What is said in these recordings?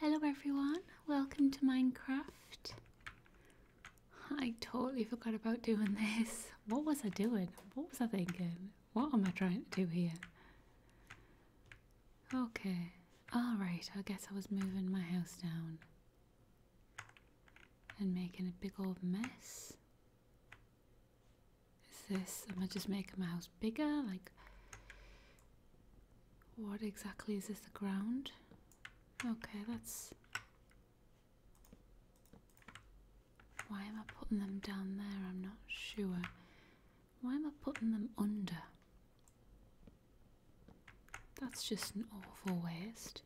Hello everyone, welcome to Minecraft. I totally forgot about doing this. What was I doing? What was I thinking? What am I trying to do here? Okay, alright, I guess I was moving my house down. And making a big old mess. Is this, am I just making my house bigger? Like, what exactly is this? The ground? Okay, that's. Why am I putting them down there? I'm not sure. Why am I putting them under? That's just an awful waste.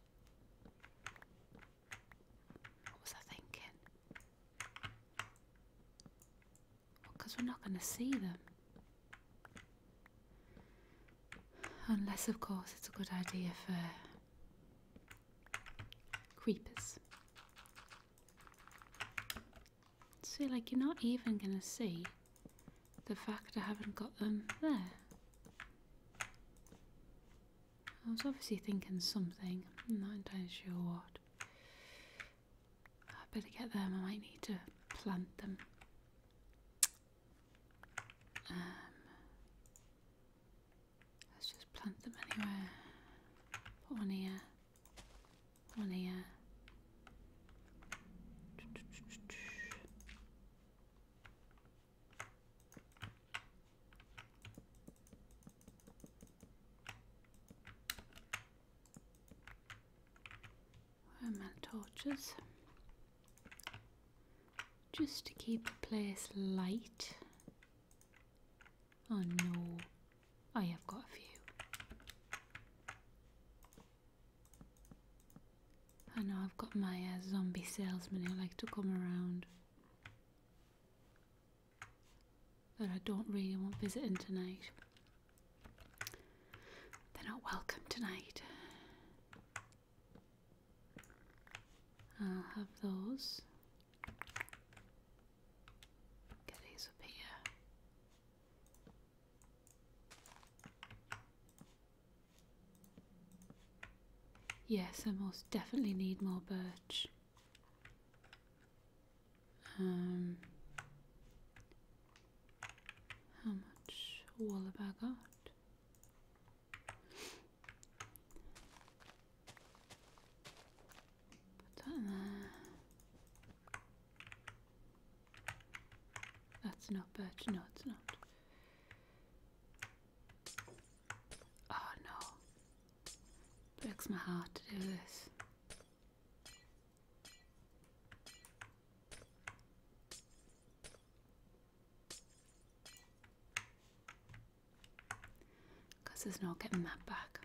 What was I thinking? Because we're not going to see them. Unless, of course, it's a good idea for creepers. See, like, you're not even going to see the fact I haven't got them there. I was obviously thinking something, I'm not entirely sure what. I better get them. I might need to plant them. Um, let's just plant them anywhere. one here, one here. Where my torches? Just to keep the place light. Oh no, I have got a few. And know I've got my uh, zombie salesman who likes to come around. but I don't really want visiting tonight. They're not welcome tonight. I'll have those. Get these up here. Yes, I most definitely need more birch. Um, how much wall have I got? Put that there. That's not birch. No, it's not. Oh no. Breaks my heart to do this. Because there's no getting that back.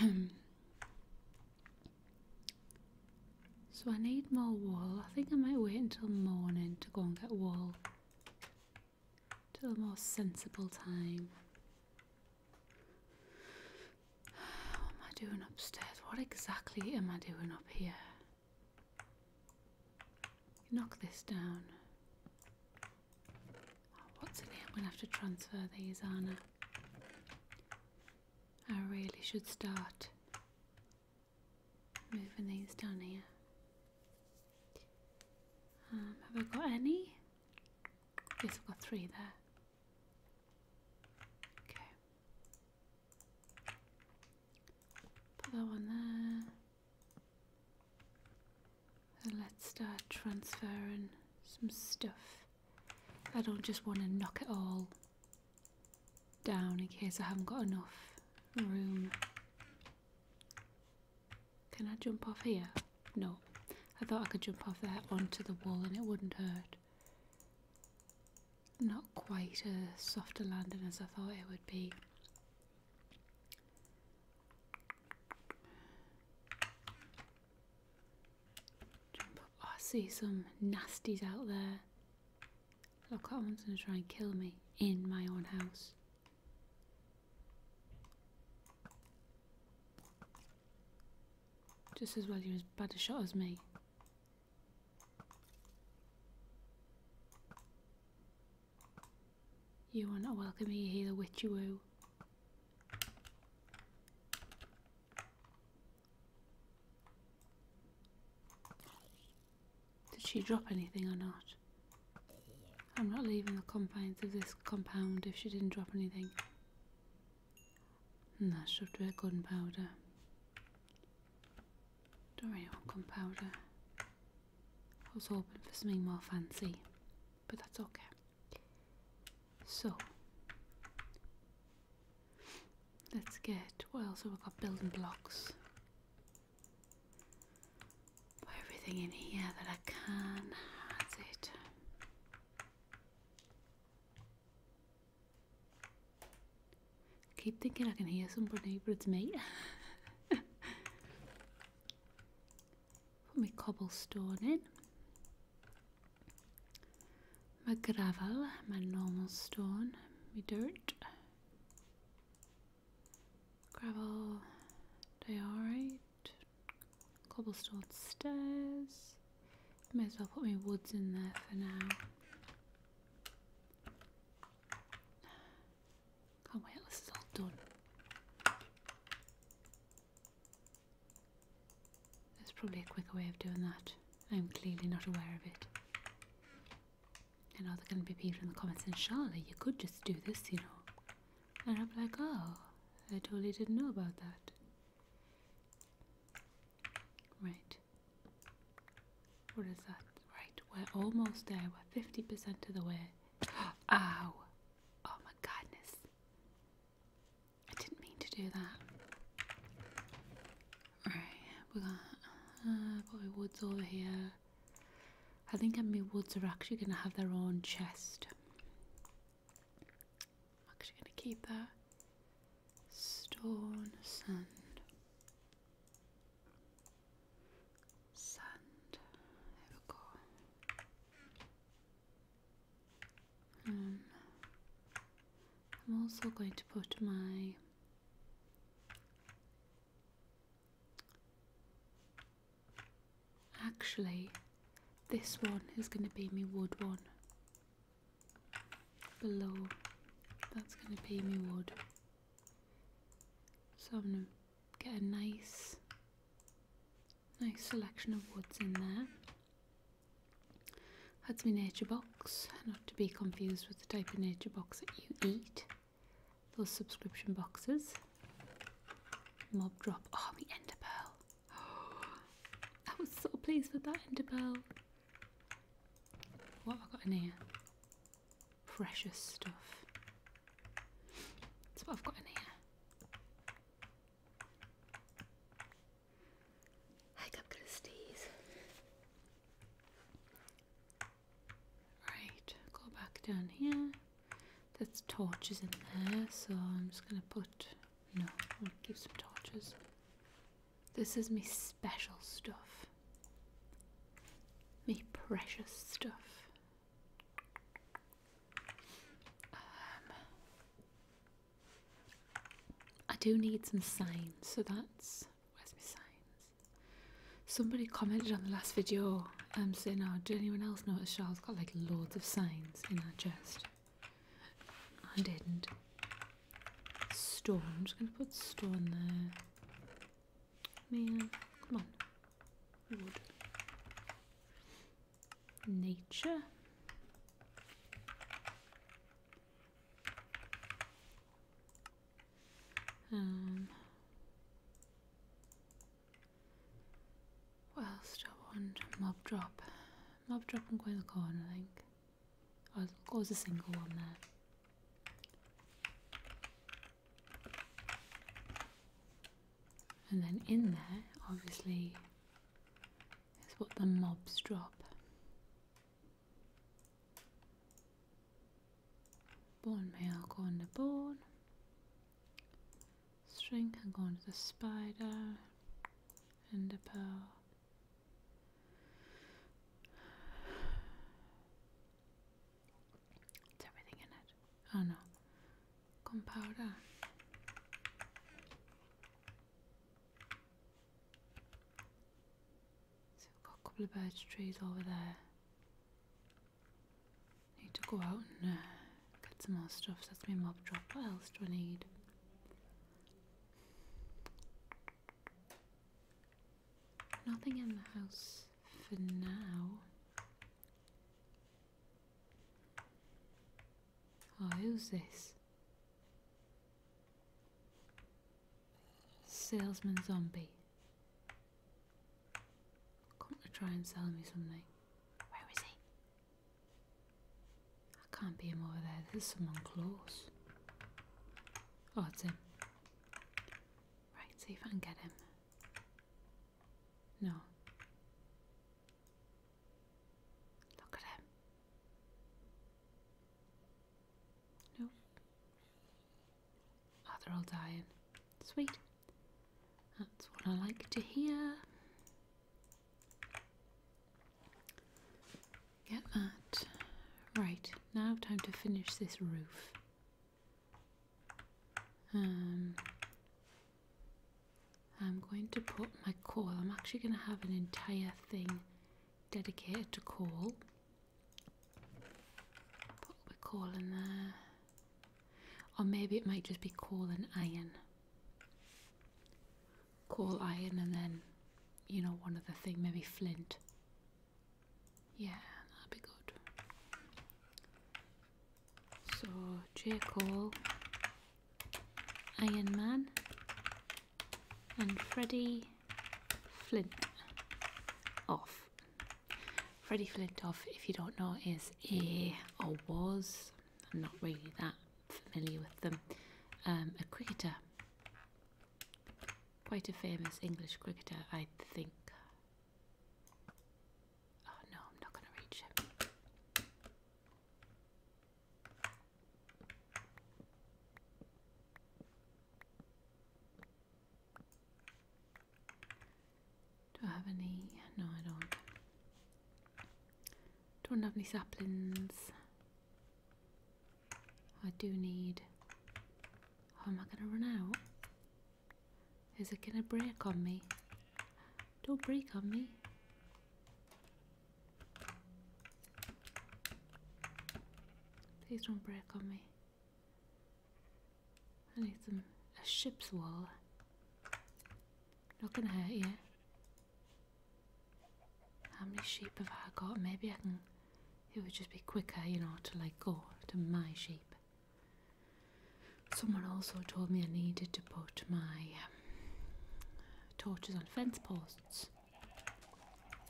so I need more wool. I think I might wait until morning to go and get wool to a more sensible time. What am I doing upstairs? What exactly am I doing up here? Knock this down. Oh, what's in here? I'm going to have to transfer these, Anna. I really should start moving these down here. Um, have I got any? Yes, I've got three there. Okay. Put that one there. Then let's start transferring some stuff. I don't just want to knock it all down in case I haven't got enough room. Can I jump off here? No. I thought I could jump off there onto the wall and it wouldn't hurt. Not quite as soft a landing as I thought it would be. Jump Oh, I see some nasties out there. Look, that one's going to try and kill me in my own house. Just as well you're as bad a shot as me. You are not welcome here, the witchy woo. Did she drop anything or not? I'm not leaving the confines of this compound if she didn't drop anything. And that should do it, gunpowder. Don't really want gunpowder. I was hoping for something more fancy, but that's okay. So, let's get, what else have we got? Building blocks everything in here that I can. That's it. Keep thinking I can hear somebody, but it's me. put my cobblestone in. My gravel, my normal stone, my dirt. Gravel They diorite cobblestone stairs. May as well put my woods in there for now. Oh wait, this is all done. There's probably a quicker way of doing that. I'm clearly not aware of it. I know there are going to be people in the comments saying, Charlotte, you could just do this, you know. And I'm like, oh, I totally didn't know about that. Right. What is that? Right, we're almost there. We're 50% of the way. Ow! Oh my goodness. I didn't mean to do that. Right, we got uh, woods over here. I think my woods are actually going to have their own chest. I'm actually going to keep that. Stone, sand. Sand. There we go. Um, I'm also going to put my Actually, this one is going to be my wood one. Below, that's going to be my wood. So I'm going to get a nice, nice selection of woods in there. That's my nature box, not to be confused with the type of nature box that you eat. Those subscription boxes. Mob drop. Oh, the ender pearl. I was so pleased with that ender pearl. What have I got in here? Precious stuff. That's what I've got in here. I am gonna sneeze. Right, go back down here. That's torches in there, so I'm just gonna put. No, I'll keep some torches. This is me special stuff. Me precious stuff. Um, I do need some signs, so that's. Where's my signs? Somebody commented on the last video um, saying, oh, did anyone else notice Charles?" got like loads of signs in that chest. I didn't. Stone. I'm just going to put stone there. Man, come on. Nature. Um, Whilst I want Mob Drop. Mob Drop and the corner. I think. I'll oh, cause a single one there. And then in there, obviously, is what the mobs drop. Born male, corn the born. String I'm going to the spider and the pearl. It's everything in it. Oh no. Gunpowder. So we've got a couple of birch trees over there. Need to go out and uh, get some more stuff. that's my mob drop. What else do I need? Nothing in the house for now. Oh, who's this? Salesman zombie. Come to try and sell me something. Where is he? I can't be him over there. This is someone close. Oh, it's him. Right, see if I can get him. No. Look at him. Nope. Oh, they're all dying. Sweet. That's what I like to hear. Get that. Right, now time to finish this roof. Um, I'm going to put my coal, I'm actually going to have an entire thing dedicated to coal. Put the coal in there. Or maybe it might just be coal and iron. Call iron and then you know one other thing maybe flint yeah that'd be good so j cole iron man and freddy flint off freddy flint off if you don't know is a or was I'm not really that familiar with them. Um, a cricketer, quite a famous English cricketer, I think. Oh no, I'm not going to reach him. Do I have any? No, I don't. Don't have any saplings. I do need. How am I going to run out? Is it going to break on me? Don't break on me. Please don't break on me. I need some a ship's wall. Not gonna hurt you. How many sheep have I got? Maybe I can. It would just be quicker, you know, to like go to my sheep. Someone also told me I needed to put my um, torches on fence posts,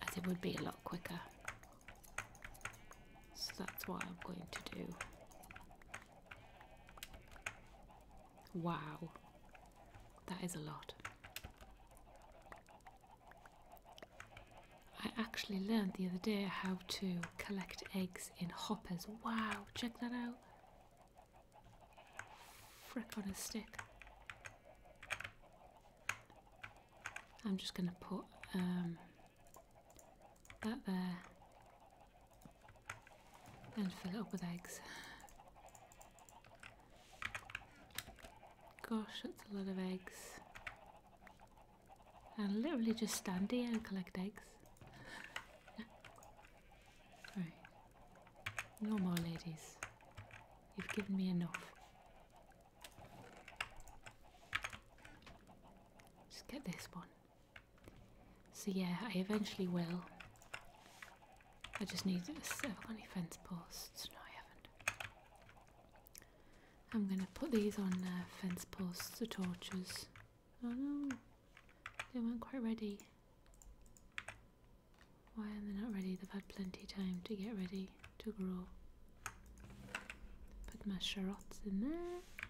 as it would be a lot quicker. So that's what I'm going to do. Wow, that is a lot. I actually learned the other day how to collect eggs in hoppers. Wow, check that out. Frick on a stick. I'm just going to put um, that there and fill it up with eggs. Gosh, that's a lot of eggs. And literally just stand here and collect eggs. right. No more ladies. You've given me enough. Just get this one. So yeah, I eventually will. I just need to have got any fence posts. No, I haven't. I'm gonna put these on uh, fence posts or torches. Oh no, they weren't quite ready. Why are they not ready? They've had plenty time to get ready to grow. Put my charots in there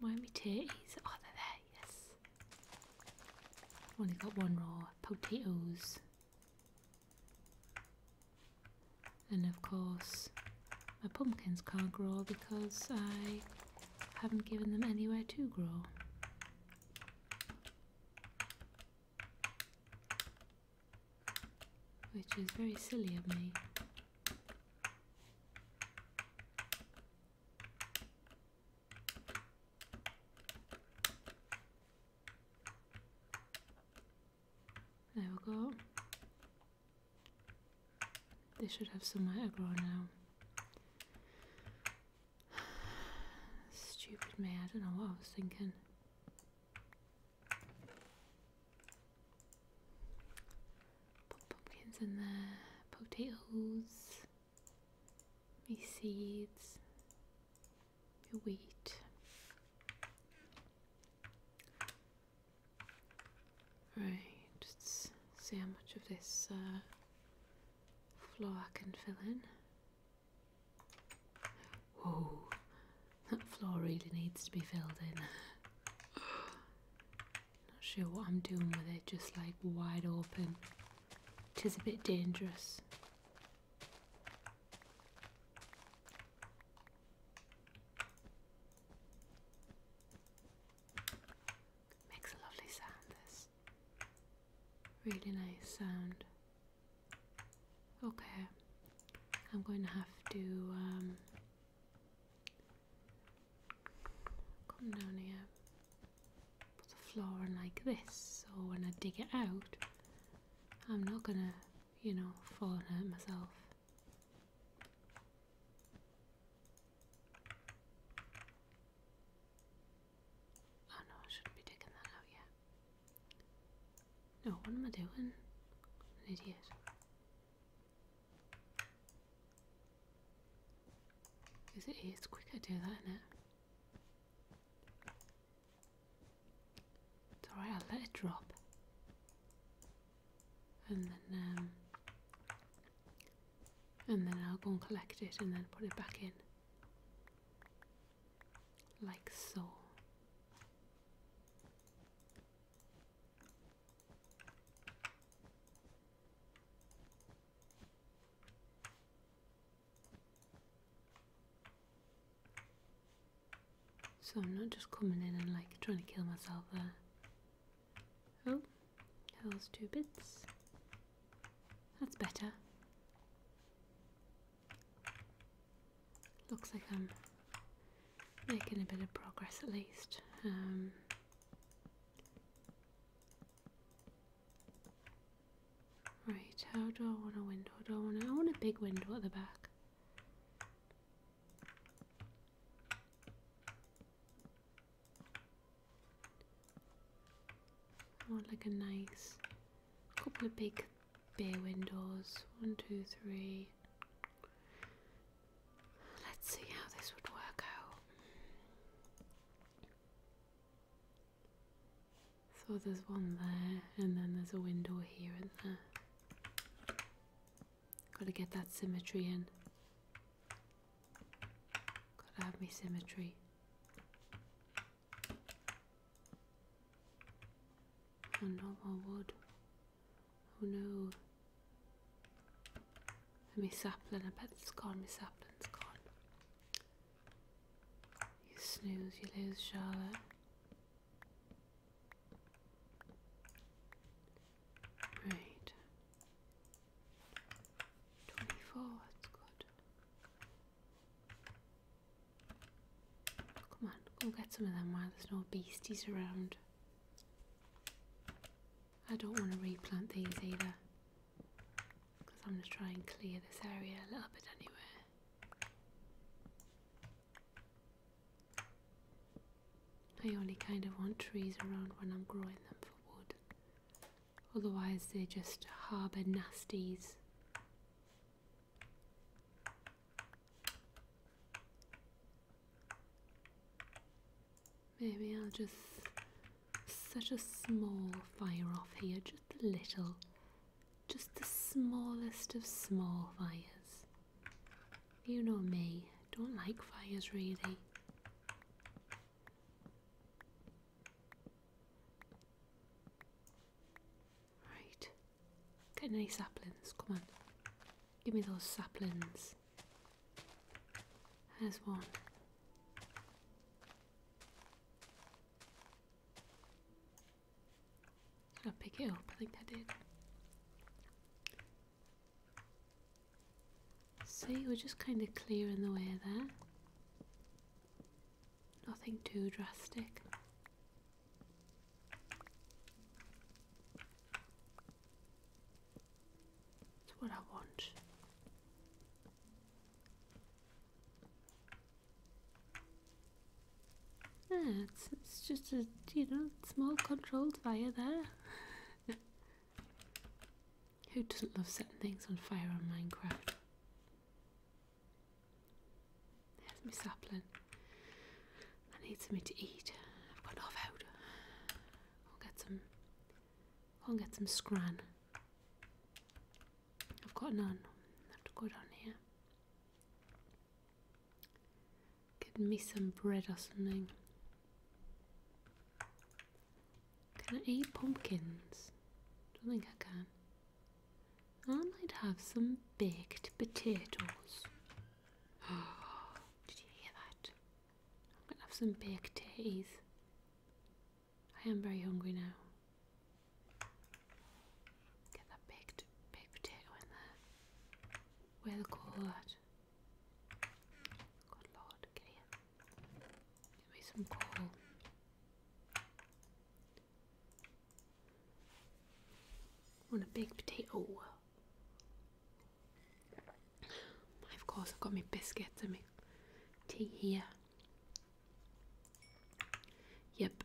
my turkeys? Oh, they're there, yes. Only got one raw. Potatoes. And of course, my pumpkins can't grow because I haven't given them anywhere to grow. Which is very silly of me. There we go. They should have some to now. Stupid me, I don't know what I was thinking. Put pumpkins in there, potatoes, my seeds, my wheat. Right, see how much of this uh, floor I can fill in. Whoa, that floor really needs to be filled in. Not sure what I'm doing with it, just like wide open. It is a bit dangerous. Makes a lovely sound, this. Really nice sound. Okay, I'm going to have to um, Come down here. Put the floor in like this, so when I dig it out, I'm not gonna, you know, fall and hurt myself. Oh no, I shouldn't be digging that out yet. No, what am I doing? An idiot. Is it is quicker to do that, isn't it? It's alright, I'll let it drop. And then um, and then I'll go and collect it and then put it back in. Like so. So I'm not just coming in and like trying to kill myself Oh, those two bits. That's better. Looks like I'm making a bit of progress at least. Um, right, how do I want a window? Do I want, want a big window at the back. I want like a nice couple of big bay windows. One, two, three. Let's see how this would work out. So there's one there, and then there's a window here and there. Gotta get that symmetry in. Gotta have me symmetry. And wood. Oh no. My sapling, I bet it's gone, Miss sapling's gone. You snooze, you lose, Charlotte. Right. 24, that's good. Come on, go get some of them while there's no beasties around. I don't want to replant these either because I'm going to try and clear this area a little bit anyway. I only kind of want trees around when I'm growing them for wood, otherwise, they just harbour nasties. Maybe I'll just set a small fire off here, just a little. Just the smallest of small fires. You know me, don't like fires really. Right, get any saplings, come on. Give me those saplings. There's one. Did I pick it up? I think I did. See, we're just kind of clearing the way there. Nothing too drastic. It's what I want. Yeah, it's, it's just a, you know, small controlled fire there. Who doesn't love setting things on fire on Minecraft? There's my sapling. I need something to eat. I've got no food. I'll get some. I'll get some scran. I've got none. I have to go down here. Get me some bread or something. Can I eat pumpkins? Don't think I can. I might have some baked potatoes. Oh, did you hear that? I'm going to have some baked teas. I am very hungry now. Get that baked, baked potato in there. Where the coal at? Good lord, get here. Give me some coal. want a baked potato. Of course, I've got my biscuits and my tea here. Yep.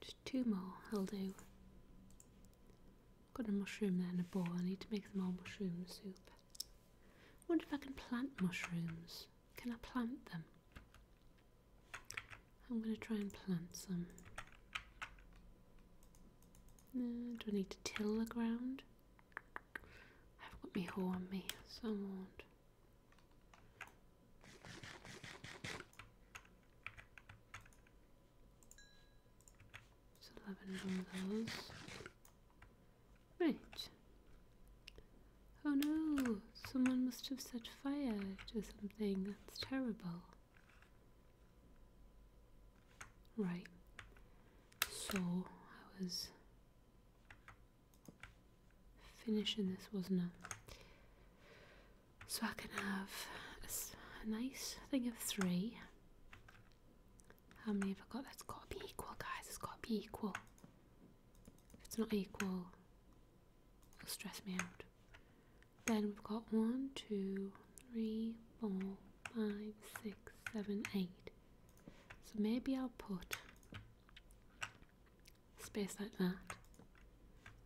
Just two more, I'll do. Got a mushroom there in a bowl. I need to make some more mushroom soup. wonder if I can plant mushrooms. Can I plant them? I'm going to try and plant some. do I need to till the ground? I've got my hoe on me, so I won't. So 11 of those. Right. Oh no, someone must have set fire to something. That's terrible. Right. So, I was finishing this, wasn't I? So I can have a, a nice thing of three. How many have I got? That's got to be equal, guys. It's got to be equal. If it's not equal, it'll stress me out. Then we've got one, two, three, four, five, six, seven, eight. So maybe I'll put space like that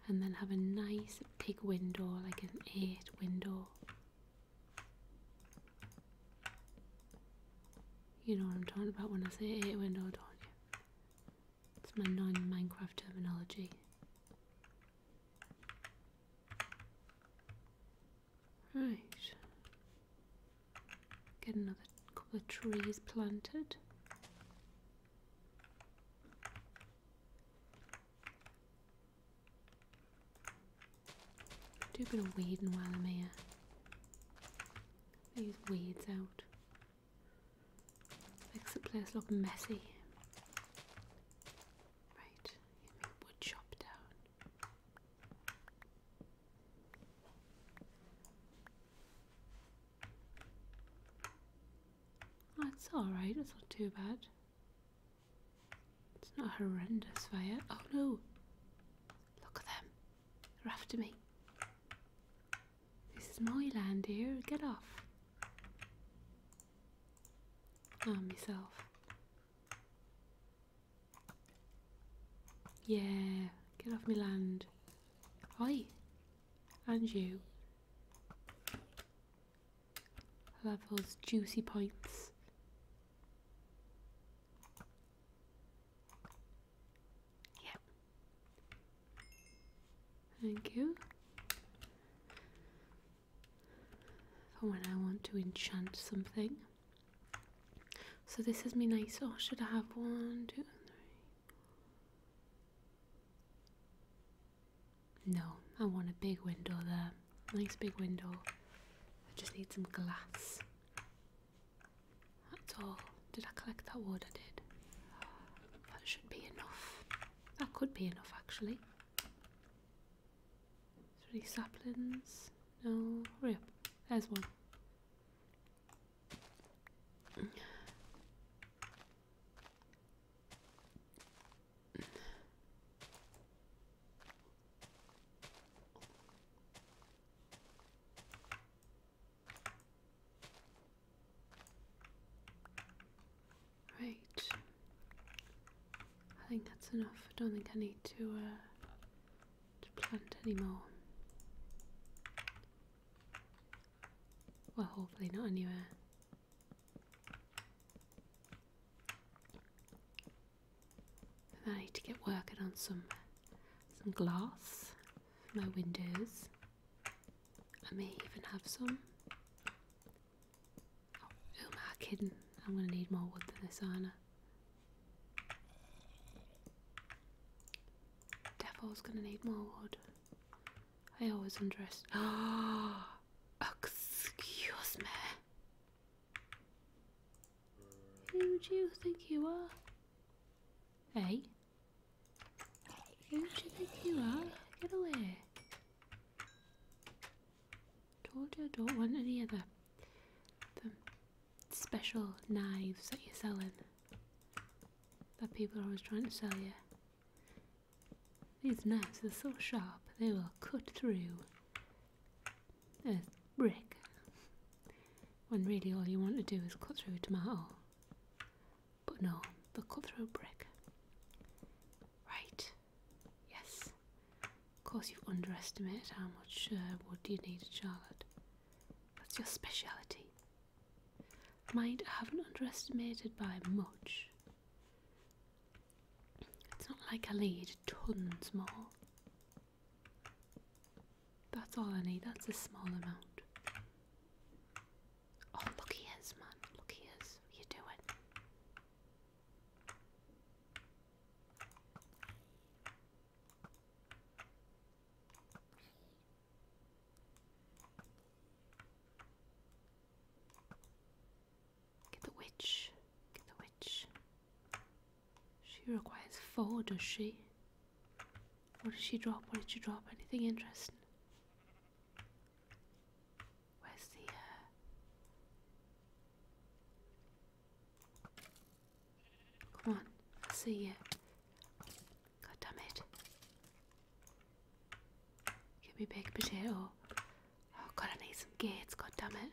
and then have a nice big window, like an eight window. You know what I'm talking about when I say eight window, don't you? It's my non-Minecraft terminology. Right. Get another couple of trees planted. Do a bit of weeding while I'm here. These weeds out. Makes the place look messy. Right, wood chop down. That's alright, it's not too bad. It's not horrendous fire. Oh no! Look at them. They're after me. This is my land here, get off. Ah, oh, myself. Yeah, get off my land. Oi! And you. I'll those juicy points. Yep. Thank you. For oh, when I want to enchant something. So this is me nice. Oh, should I have one, two, three? No, I want a big window there. Nice big window. I just need some glass. That's all. Did I collect that wood? I did. That should be enough. That could be enough actually. Three saplings. No, hurry up. There's one. Right. I think that's enough. I don't think I need to uh, to plant anymore. Well, hopefully not anywhere. I need to get working on some some glass for my windows. I may even have some. Oh, who am kidding? I'm gonna need more wood than this, are Devil's gonna need more wood. I always undress. Oh, excuse me. Who do you think you are? Hey do You think you are. Get away. Told you I don't want any of the, the special knives that you're selling. That people are always trying to sell you. These knives are so sharp, they will cut through a brick. When really all you want to do is cut through a tomato. But no, the cutthroat brick. Right. Yes. Of course, you've underestimated how much uh, wood you need, Charlotte. That's your speciality. Mind, I haven't underestimated by much. It's not like I need tons more. That's all I need, that's a small amount. Oh, look he is, man. Look he is. You do it. Get the witch. Get the witch. She requires four, does she? What did she drop? What did she drop? Anything interesting? Where's the uh Come on, I see you. God damn it. Give me baked potato. Oh god, I need some gates, god damn it.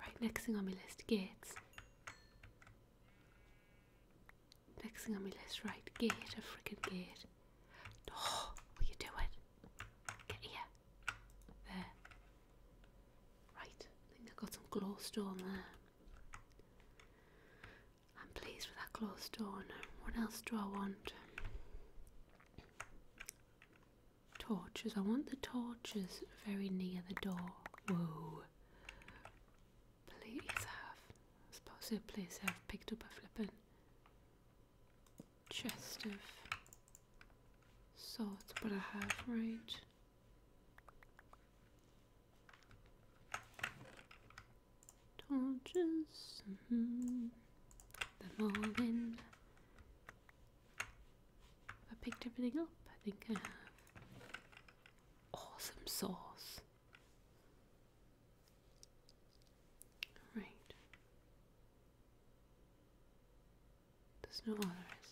Right, next thing on my list, gates. Next thing on my list, right? Gate, a freaking gate. Oh, will you do it? Get here. There. Right, I think I've got some glowstone there. I'm pleased with that glowstone. Um, what else do I want? Torches. I want the torches very near the door. Whoa. Please have. I suppose you please have picked up a flippin' chest of sorts, but I have, right? Torches. Mm -hmm. Them all I picked everything up? I think I have. Awesome sauce. Right. There's no others.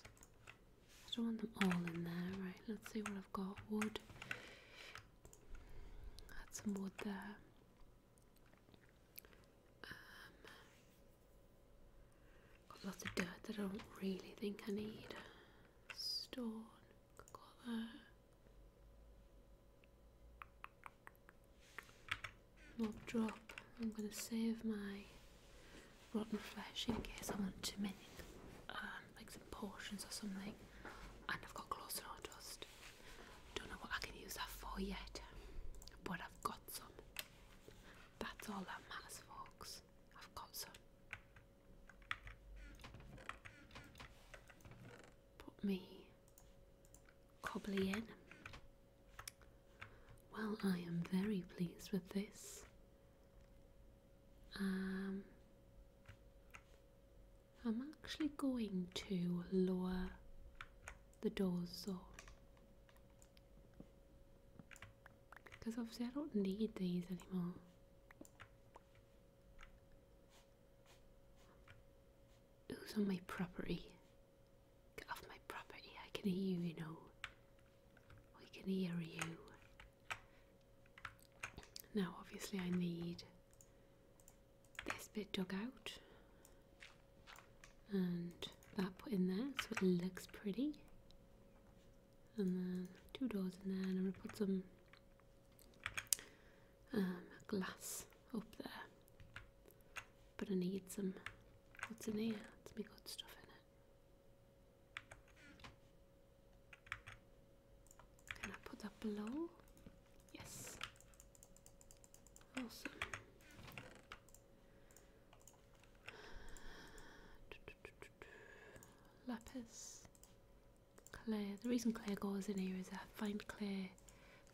I don't want them all in there. Right, let's see what I've got. Wood. Add some wood there. Um, got lots of dirt that I don't really think I need. Stone. Got all that. Not drop. I'm gonna save my rotten flesh in case I want to make um, like some portions or something. And I've got gloss and all dust. Don't know what I can use that for yet, but I've got some. That's all that matters, folks. I've got some. Put me cobbly in. Well, I am very pleased with this. Um, I'm actually going to lower the doors though. Because obviously I don't need these anymore. Who's on my property? Get off my property. I can hear you, you know. I can hear you. Now, obviously, I need this bit dug out and that put in there so it looks pretty. And then two doors in there, and I'm going to put some um, glass up there. But I need some. What's in here? Let's make good stuff in it. Can I put that below? Yes. Awesome. Lapis. Claire. The reason Claire goes in here is I find Claire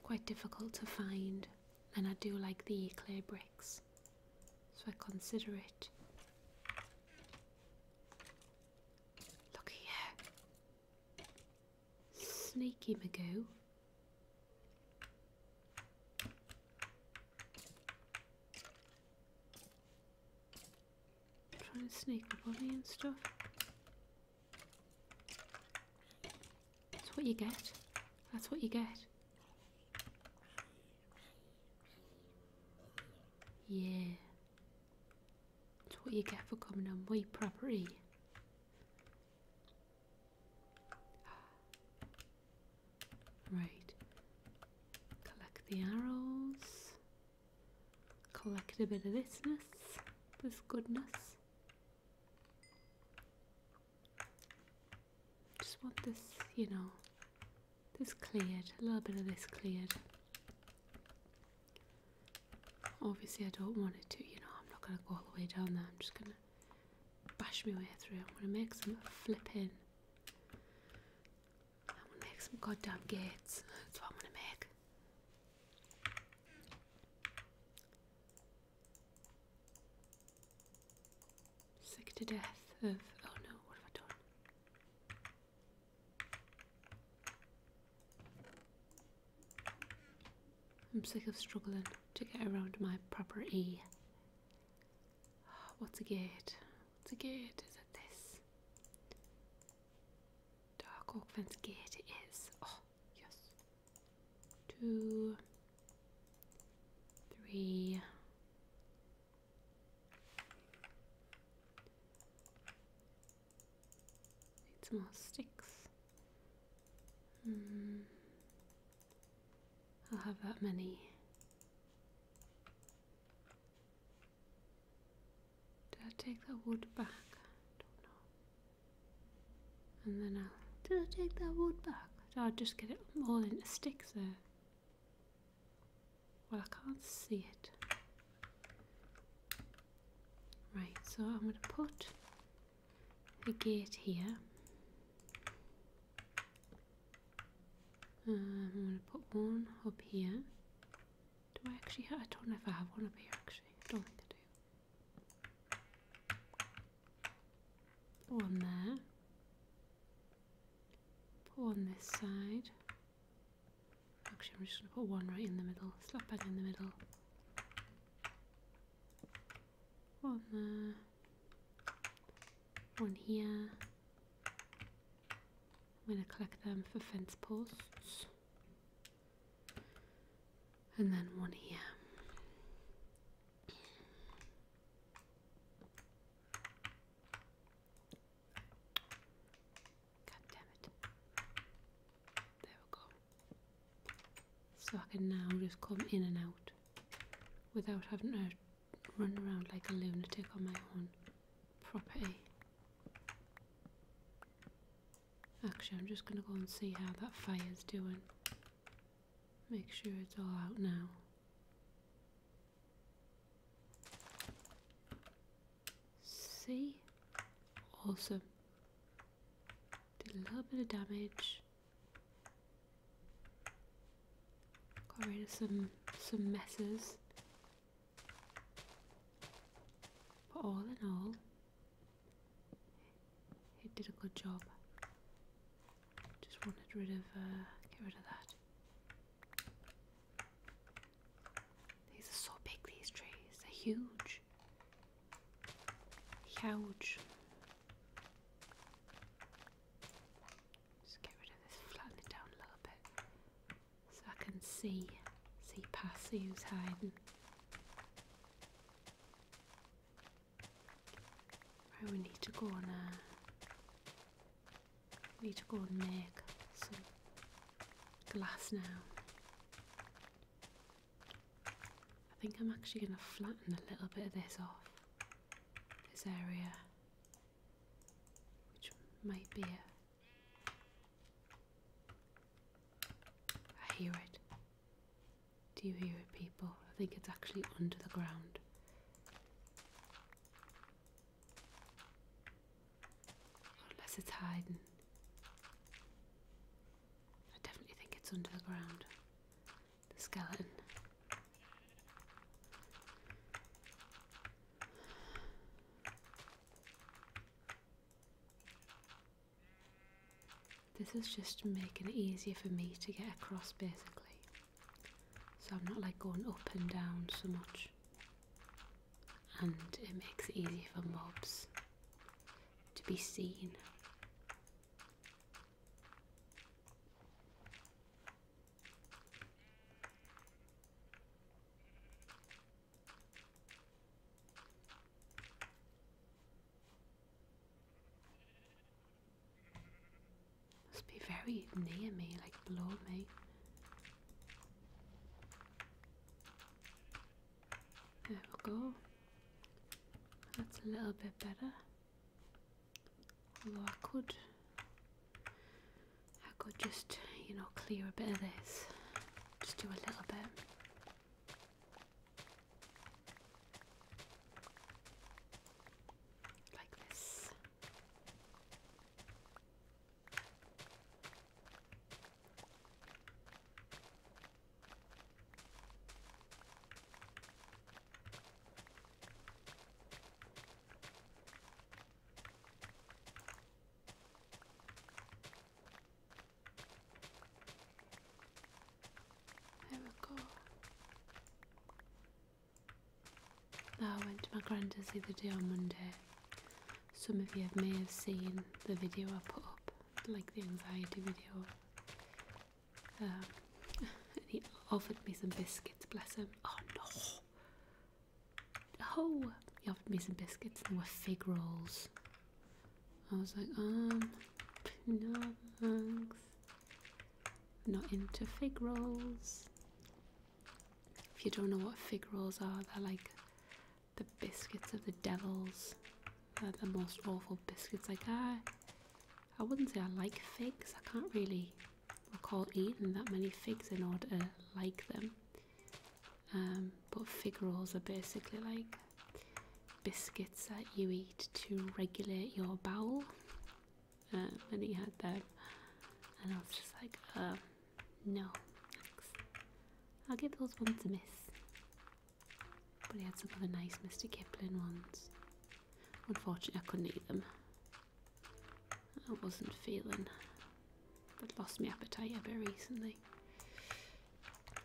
quite difficult to find, and I do like the clay bricks, so I consider it. Look here, Sneaky Magoo. Trying to sneak the body and stuff. That's what you get. That's what you get. Yeah. That's what you get for coming on my property. Right. Collect the arrows. Collect a bit of this mess, this goodness. Just want this, you know, this cleared, a little bit of this cleared. Obviously, I don't want it to, you know, I'm not going to go all the way down there, I'm just going to bash my way through. I'm going to make some flipping I want to make some goddamn gates. That's what I'm to make. Sick to death of. Oh no, what have I done? I'm sick of struggling to get around my proper E. What's a gate? What's a gate? Is it this? Dark Oak Fence Gate is. Oh, yes. Two, three, need more sticks. Mm. I'll have that many. Did I take that wood back? I don't know. And then I'll. Did I take that wood back? Did I just get it all into sticks there? Well, I can't see it. Right, so I'm going to put a gate here. Um, I'm going to put one up here do I actually have? I don't know if I have one up here actually. I don't think I do. Put one there. Put one this side. Actually, I'm just going to put one right in the middle. Slap that in the middle. One there. One here. I'm going to collect them for fence posts and then one here. God damn it. There we go. So I can now just come in and out without having to run around like a lunatic on my own property. Actually, I'm just going to go and see how that fire's doing. Make sure it's all out now. See? Awesome. Did a little bit of damage. Got rid of some some messes. But all in all, it did a good job. Just wanted rid of, uh, get rid of that. These are so big, these trees. They're huge. Huge. Just get rid of this, flatten it down a little bit so I can see see past see who's hiding. Right, we need to go and uh, we need to go and make some glass now. I think I'm actually going to flatten a little bit of this off, this area, which might be a I hear it. Do you hear it, people? I think it's actually under the ground. Unless it's hiding. I definitely think it's under the ground. The skeleton. This is just making it easier for me to get across basically. So I'm not like going up and down so much. And it makes it easier for mobs to be seen. Must be very near me, like below me. There we go. That's a little bit better. Although I could I could just, you know, clear a bit of this. Just do a little bit. Like this. There we go. Now I went to my granddad's the other day on Monday. Some of you may have seen the video I put up, like the anxiety video. Um, he offered me some biscuits, bless him. Oh no! Oh! He offered me some biscuits and they were fig rolls. I was like, um, no thanks. Not into fig rolls. If you don't know what fig rolls are, they're like the biscuits of the devils. They're the most awful biscuits. Like I, I wouldn't say I like figs. I can't really recall eating that many figs in order to like them. Um, but fig rolls are basically like biscuits that you eat to regulate your bowel. Uh, and he had them, and I was just like, oh, no, thanks. I'll give those ones a miss. But he had some other nice Mr. Kipling ones. Unfortunately, I couldn't eat them. I wasn't feeling i lost my appetite a bit recently,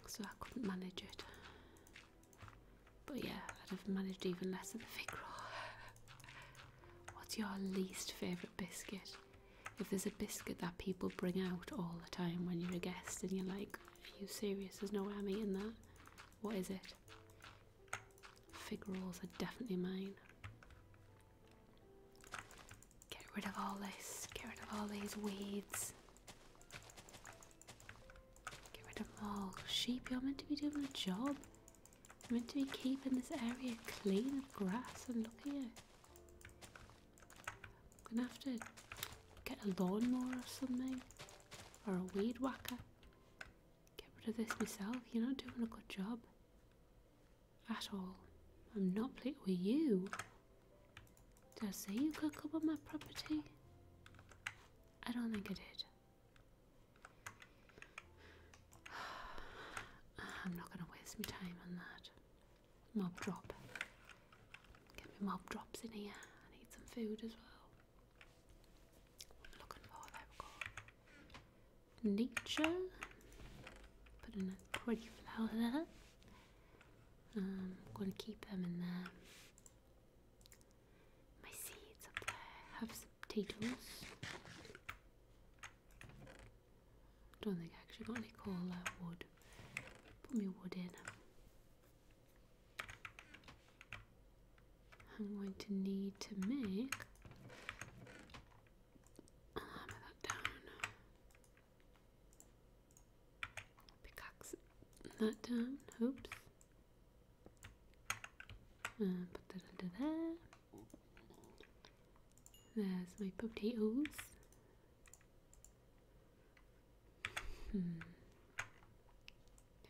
so I couldn't manage it. But yeah, I'd have managed even less of the fig roll. What's your least favourite biscuit? If there's a biscuit that people bring out all the time when you're a guest and you're like, are you serious? There's no way I'm eating that. What is it? Fig rolls are definitely mine. Get rid of all this. Get rid of all these weeds. Get rid of all. Sheep, you're meant to be doing a job. You're meant to be keeping this area clean of grass and look here. I'm gonna have to get a lawnmower or something. Or a weed whacker. Get rid of this myself. You're not doing a good job at all. I'm not playing with you. Did I say you could come on my property? I don't think I did. I'm not going to waste my time on that. Mob drop. Get my mob drops in here. I need some food as well. What am looking for? Nature. Put in a pretty flower there. I'm gonna keep them in there. My seeds up there. Have some potatoes. Don't think I actually got any coal or uh, wood. Put me wood in. I'm going to need to make Hammer that down. Pickaxe that down. Oops. There's my potatoes. Hmm.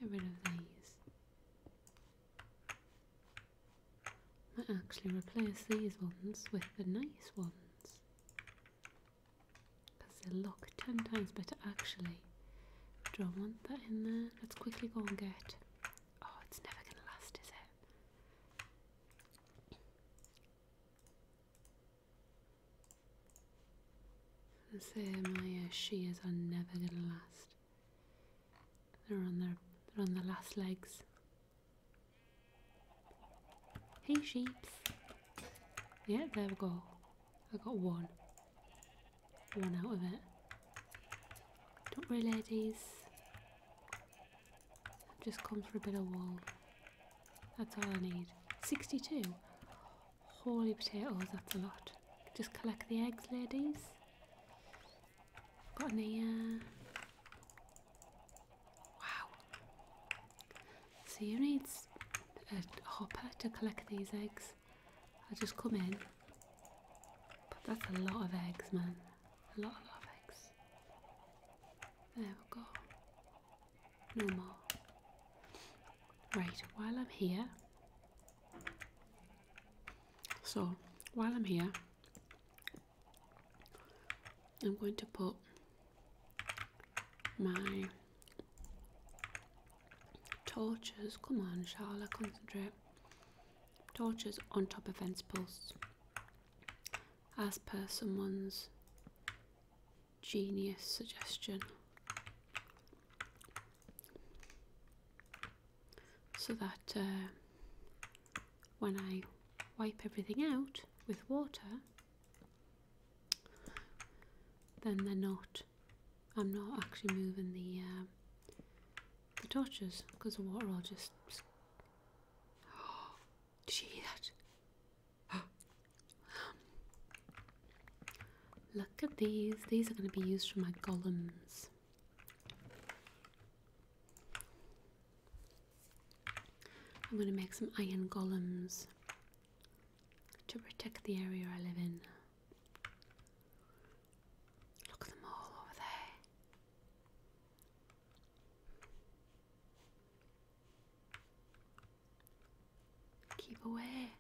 Get rid of these might actually replace these ones with the nice ones because they look 10 times better actually do I want that in there? let's quickly go and get oh it's never gonna last is it? I say my uh, shears are never gonna last they're on their they're on the last legs Hey, sheeps. Yeah, there we go. I got one. One out of it. Don't worry, ladies. I've just come for a bit of wool. That's all I need. 62. Holy potatoes, that's a lot. Just collect the eggs, ladies. Got any, uh, Wow. So you need a hopper to collect these eggs. I will just come in. But that's a lot of eggs, man. A lot, a lot of eggs. There we go. No more. Right, while I'm here. So, while I'm here, I'm going to put my torches, come on Charlotte, concentrate, torches on top of fence posts as per someone's genius suggestion. So that uh, when I wipe everything out with water, then they're not. I'm not actually moving the um, torches because the water will just. Oh, Look at these. These are going to be used for my golems. I'm going to make some iron golems to protect the area I live in. Look at them all over there. Keep away.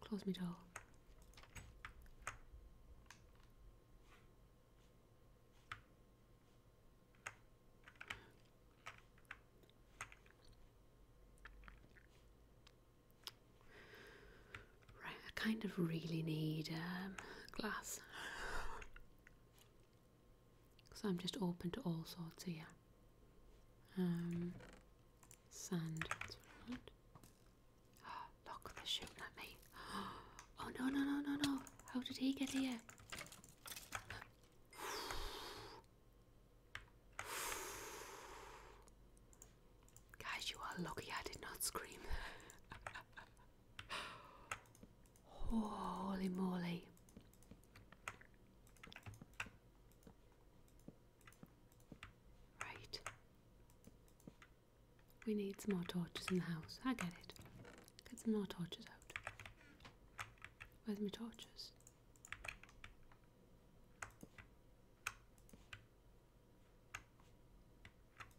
Close me door. Right, I kind of really need um, glass. so I'm just open to all sorts here. Um, sand. Ah, look, they're shooting at me. Oh, no, no, no, no, no. How did he get here? Guys, you are lucky I did not scream. Holy moly. Right. We need some more torches in the house. I get it. Get some more torches out. Where's my torches?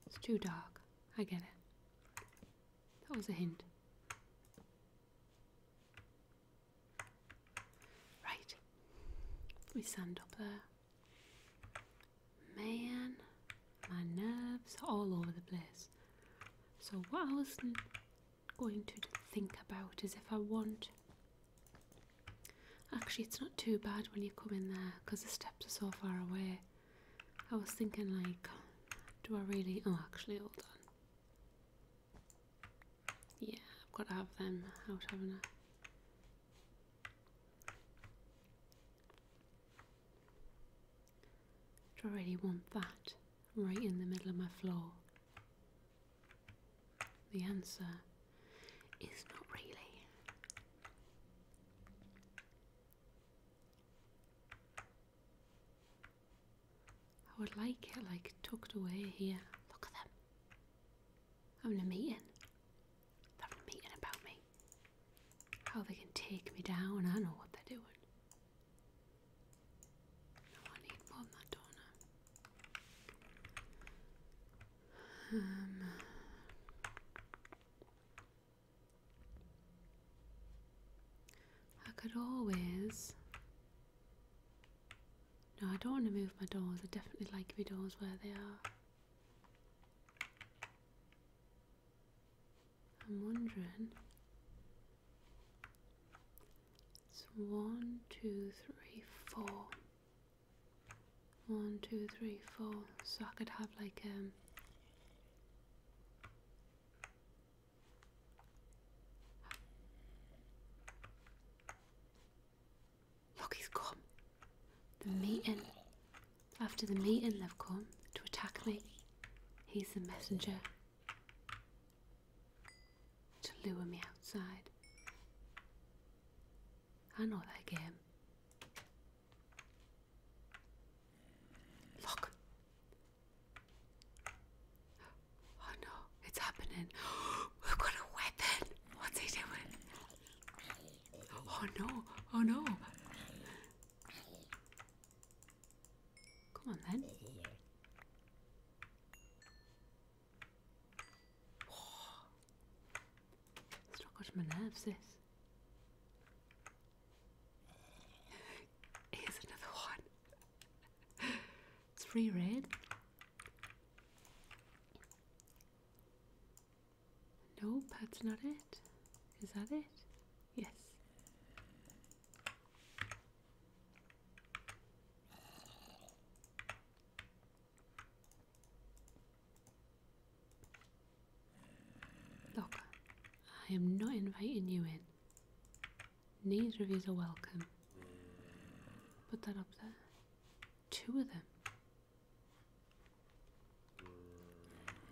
It's too dark. I get it. That was a hint. Right. Let me stand up there. Man, my nerves are all over the place. So, what I was going to think about is if I want. Actually, it's not too bad when you come in there because the steps are so far away. I was thinking, like, do I really. Oh, actually, all done. Yeah, I've got to have them out, haven't I? Do I really want that right in the middle of my floor. The answer is not really. I would like it like tucked away here. Look at them. I'm a meeting. They're meeting about me. How they can take me down. I don't know what they're doing. No, I need more than that, do I could always. No, I don't want to move my doors. I definitely like my doors where they are. I'm wondering. It's one, two, three, four. One, two, three, four. So I could have like um Look he's come. The meeting after the meeting they come to attack me. He's the messenger to lure me outside. I know that game. Look. Oh no, it's happening. We've got a weapon. What's he doing? Oh no, oh no. Come on then. it's not got to my nerves, this. Here's another one. it's free raid. Nope, that's not it. Is that it? Yes. Look, I am not inviting you in. Neither of you are welcome. Put that up there. Two of them.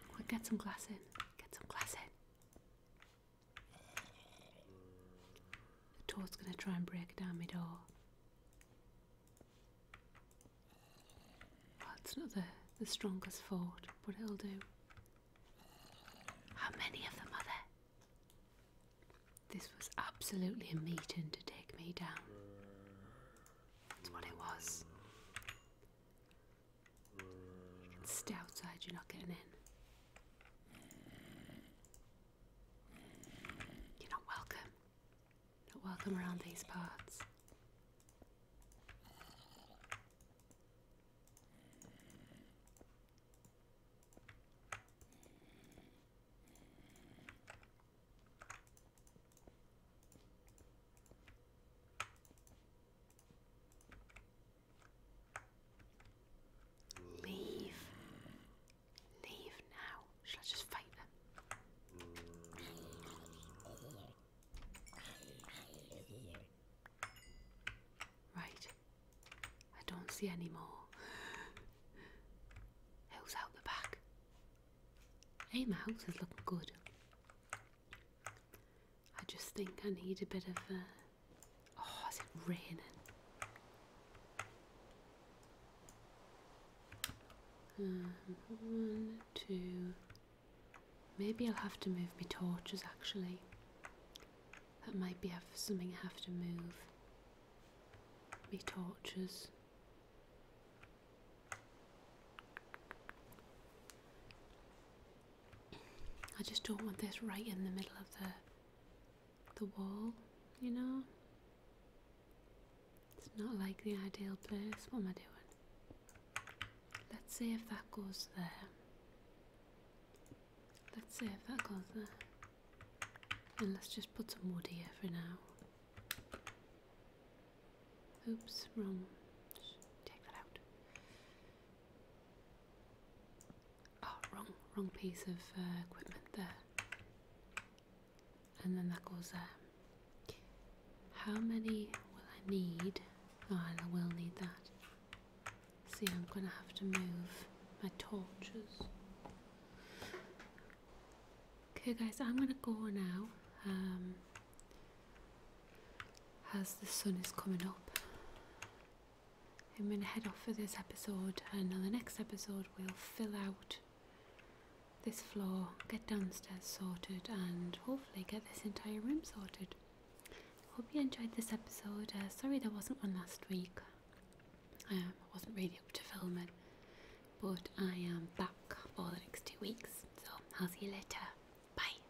Quick, get some glass in. Get some glass in. The toad's gonna try and break down my door. Well, it's not the, the strongest fort, but it'll do. How many of them are there? This was absolutely a meeting to take me down. That's what it was. Stay outside, you're not getting in. You're not welcome. Not welcome around these parts. Leave. Leave now. Shall I just fight them? Right. I don't see any more. Who's out the back? Hey, my house is looking good. I just think I need a bit of a. Uh, oh, is it raining? Uh, one, two. Maybe I'll have to move my torches actually. That might be something I have to move. My torches. I just don't want this right in the middle of the the wall, you know. It's not like the ideal place. What am I doing? Let's see if that goes there. Let's see if that goes there. And let's just put some wood here for now. Oops, wrong. take that out. Oh, wrong, wrong piece of uh, equipment there. And then that goes there. How many will I need? Oh, I will need that. See, I'm gonna have to move my torches. Okay, guys, I'm gonna go now. Um, as the sun is coming up. I'm going to head off for this episode, and on the next episode, we'll fill out this floor, get downstairs sorted, and hopefully get this entire room sorted. Hope you enjoyed this episode. Uh, sorry there wasn't one last week. Um, I wasn't really up to filming, but I am back for the next two weeks. So I'll see you later. Bye.